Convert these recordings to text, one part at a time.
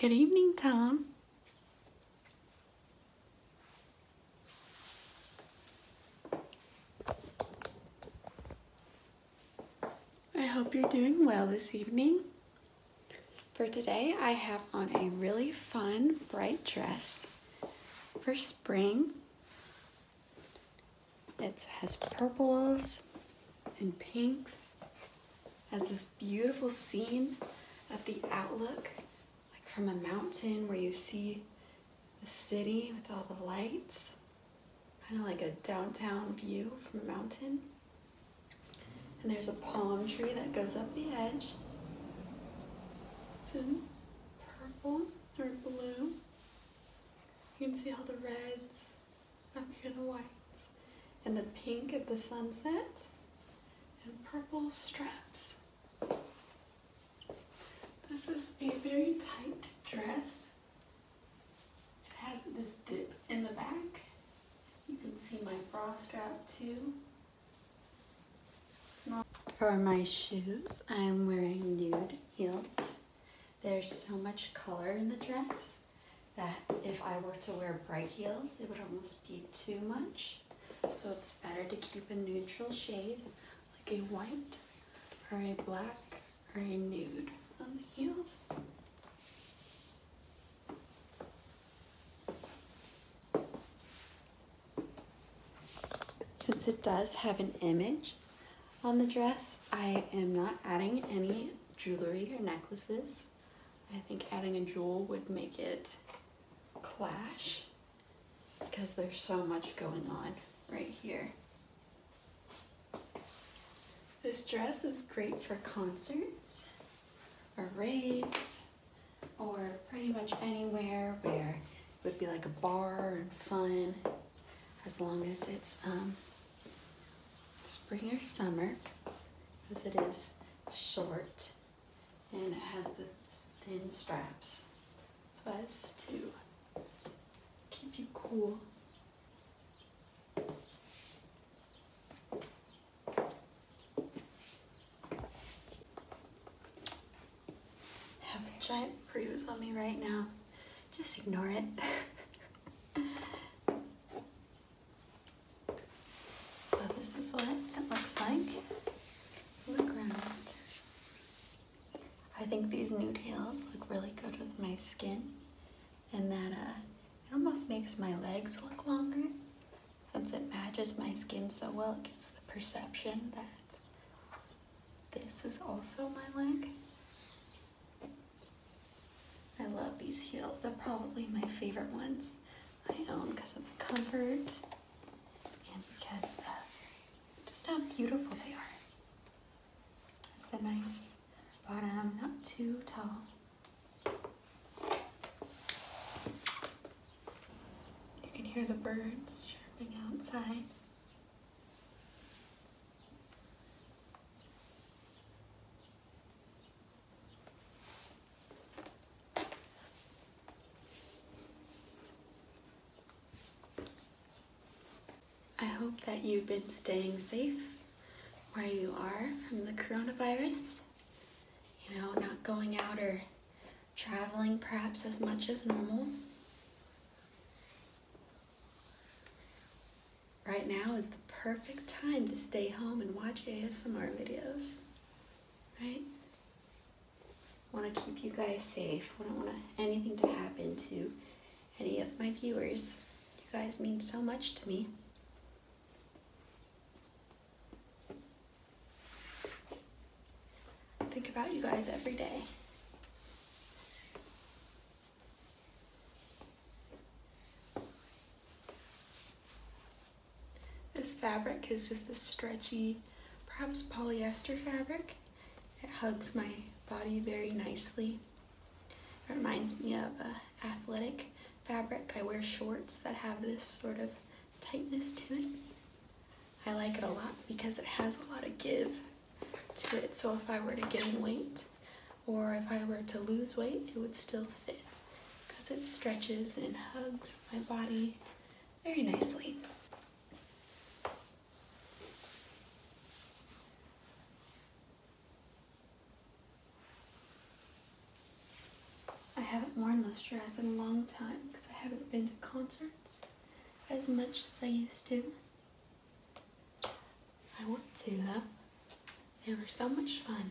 Good evening, Tom. I hope you're doing well this evening. For today, I have on a really fun, bright dress for spring. It has purples and pinks, has this beautiful scene of the outlook, like from a mountain where you see the city with all the lights, kind of like a downtown view from a mountain. And there's a palm tree that goes up the edge. It's in purple or blue. You can see all the reds up here, the whites, and the pink of the sunset, and purple straps. This is a very tight dress. It has this dip in the back you can see my bra strap For my shoes, I'm wearing nude heels. There's so much color in the dress that if I were to wear bright heels, it would almost be too much. So it's better to keep a neutral shade, like a white or a black or a nude on the heels. Since it does have an image on the dress, I am not adding any jewelry or necklaces. I think adding a jewel would make it clash because there's so much going on right here. This dress is great for concerts or raves or pretty much anywhere where it would be like a bar and fun as long as it's um, spring or summer because it is short and it has the thin straps so as to keep you cool have a giant bruise on me right now. Just ignore it. so this is what it looks like. Look around. I think these new tails look really good with my skin and that uh, it almost makes my legs look longer since it matches my skin so well it gives the perception that this is also my leg I love these heels they're probably my favorite ones I own because of the comfort and because of just how beautiful they are it's that nice but I'm not too tall. You can hear the birds chirping outside. I hope that you've been staying safe where you are from the coronavirus. You know, not going out or traveling perhaps as much as normal. Right now is the perfect time to stay home and watch ASMR videos, right? want to keep you guys safe. I don't want anything to happen to any of my viewers. You guys mean so much to me. think about you guys every day. This fabric is just a stretchy, perhaps polyester fabric. It hugs my body very nicely. It reminds me of athletic fabric. I wear shorts that have this sort of tightness to it. I like it a lot because it has a lot of give to it. So if I were to gain weight or if I were to lose weight, it would still fit because it stretches and hugs my body very nicely. I haven't worn this dress in a long time because I haven't been to concerts as much as I used to. I want to though. They were so much fun.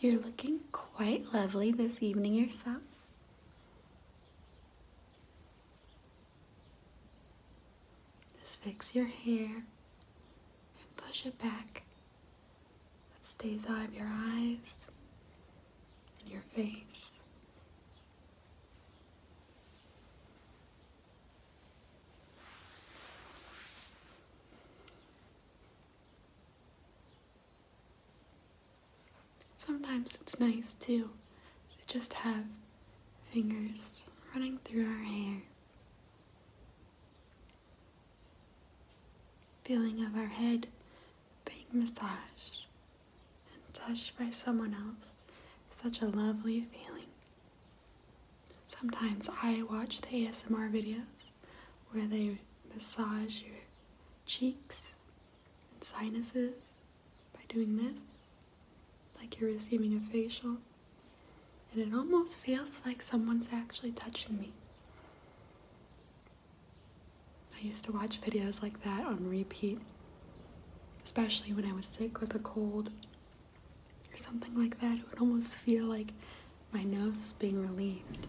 You're looking quite lovely this evening yourself. Just fix your hair and push it back. That stays out of your eyes and your face. Sometimes it's nice too to just have fingers running through our hair. Feeling of our head being massaged and touched by someone else such a lovely feeling. Sometimes I watch the ASMR videos where they massage your cheeks and sinuses by doing this, like you're receiving a facial. And it almost feels like someone's actually touching me. I used to watch videos like that on repeat, especially when I was sick with a cold or something like that. It would almost feel like my nose being relieved.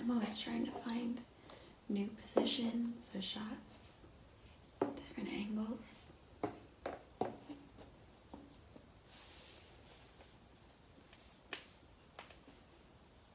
I'm always trying to find new positions or shots, different angles.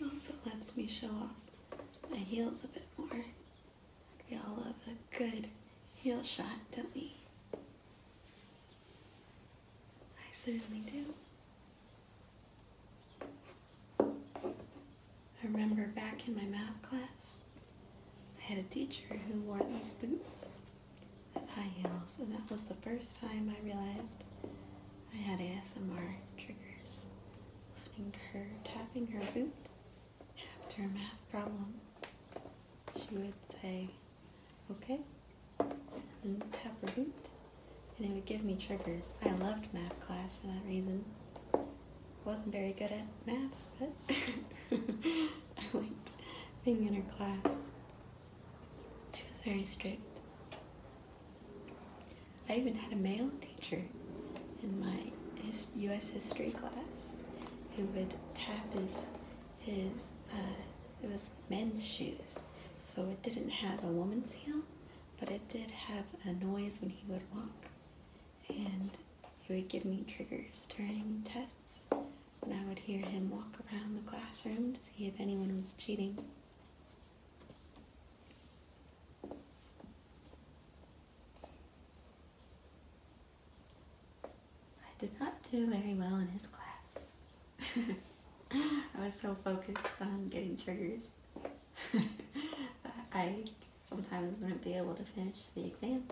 It also lets me show off my heels a bit more. We all love a good heel shot, don't we? I certainly do. I remember back in my math class, I had a teacher who wore these boots with high heels, and that was the first time I realized I had ASMR triggers. Listening to her tapping her boot after a math problem, she would say, okay, and tap her boot, and it would give me triggers. I loved math class for that reason wasn't very good at math, but I liked being in her class. She was very strict. I even had a male teacher in my U.S. history class who would tap his his uh, it was men's shoes, so it didn't have a woman's heel but it did have a noise when he would walk, and he would give me triggers during tests And I would hear him walk around the classroom to see if anyone was cheating. I did not do very well in his class. I was so focused on getting triggers. I sometimes wouldn't be able to finish the exam.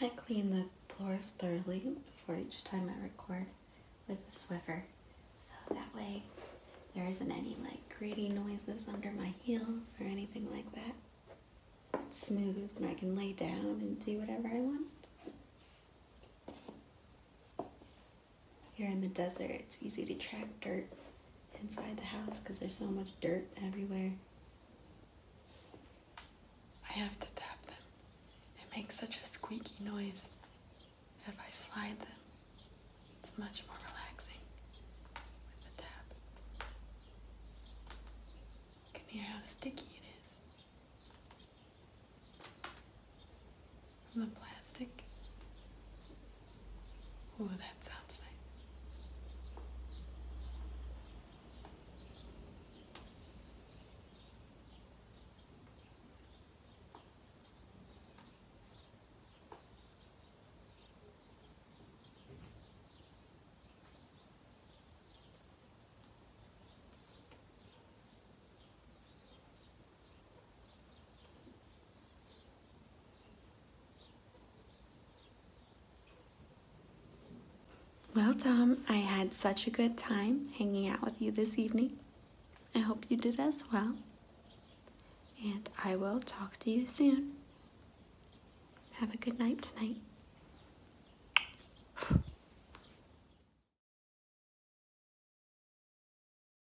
I clean the floors thoroughly before each time I record with the Swiffer so that way there isn't any like gritty noises under my heel or anything like that. It's smooth and I can lay down and do whatever I want. Here in the desert, it's easy to track dirt inside the house because there's so much dirt everywhere. I have to tap them. It makes such a squeaky noise. If I slide them, it's much more relaxing with the tap. You hear how sticky it is. From the plastic, Oh, that sounds nice. Well, Tom, I had such a good time hanging out with you this evening. I hope you did as well. And I will talk to you soon. Have a good night tonight.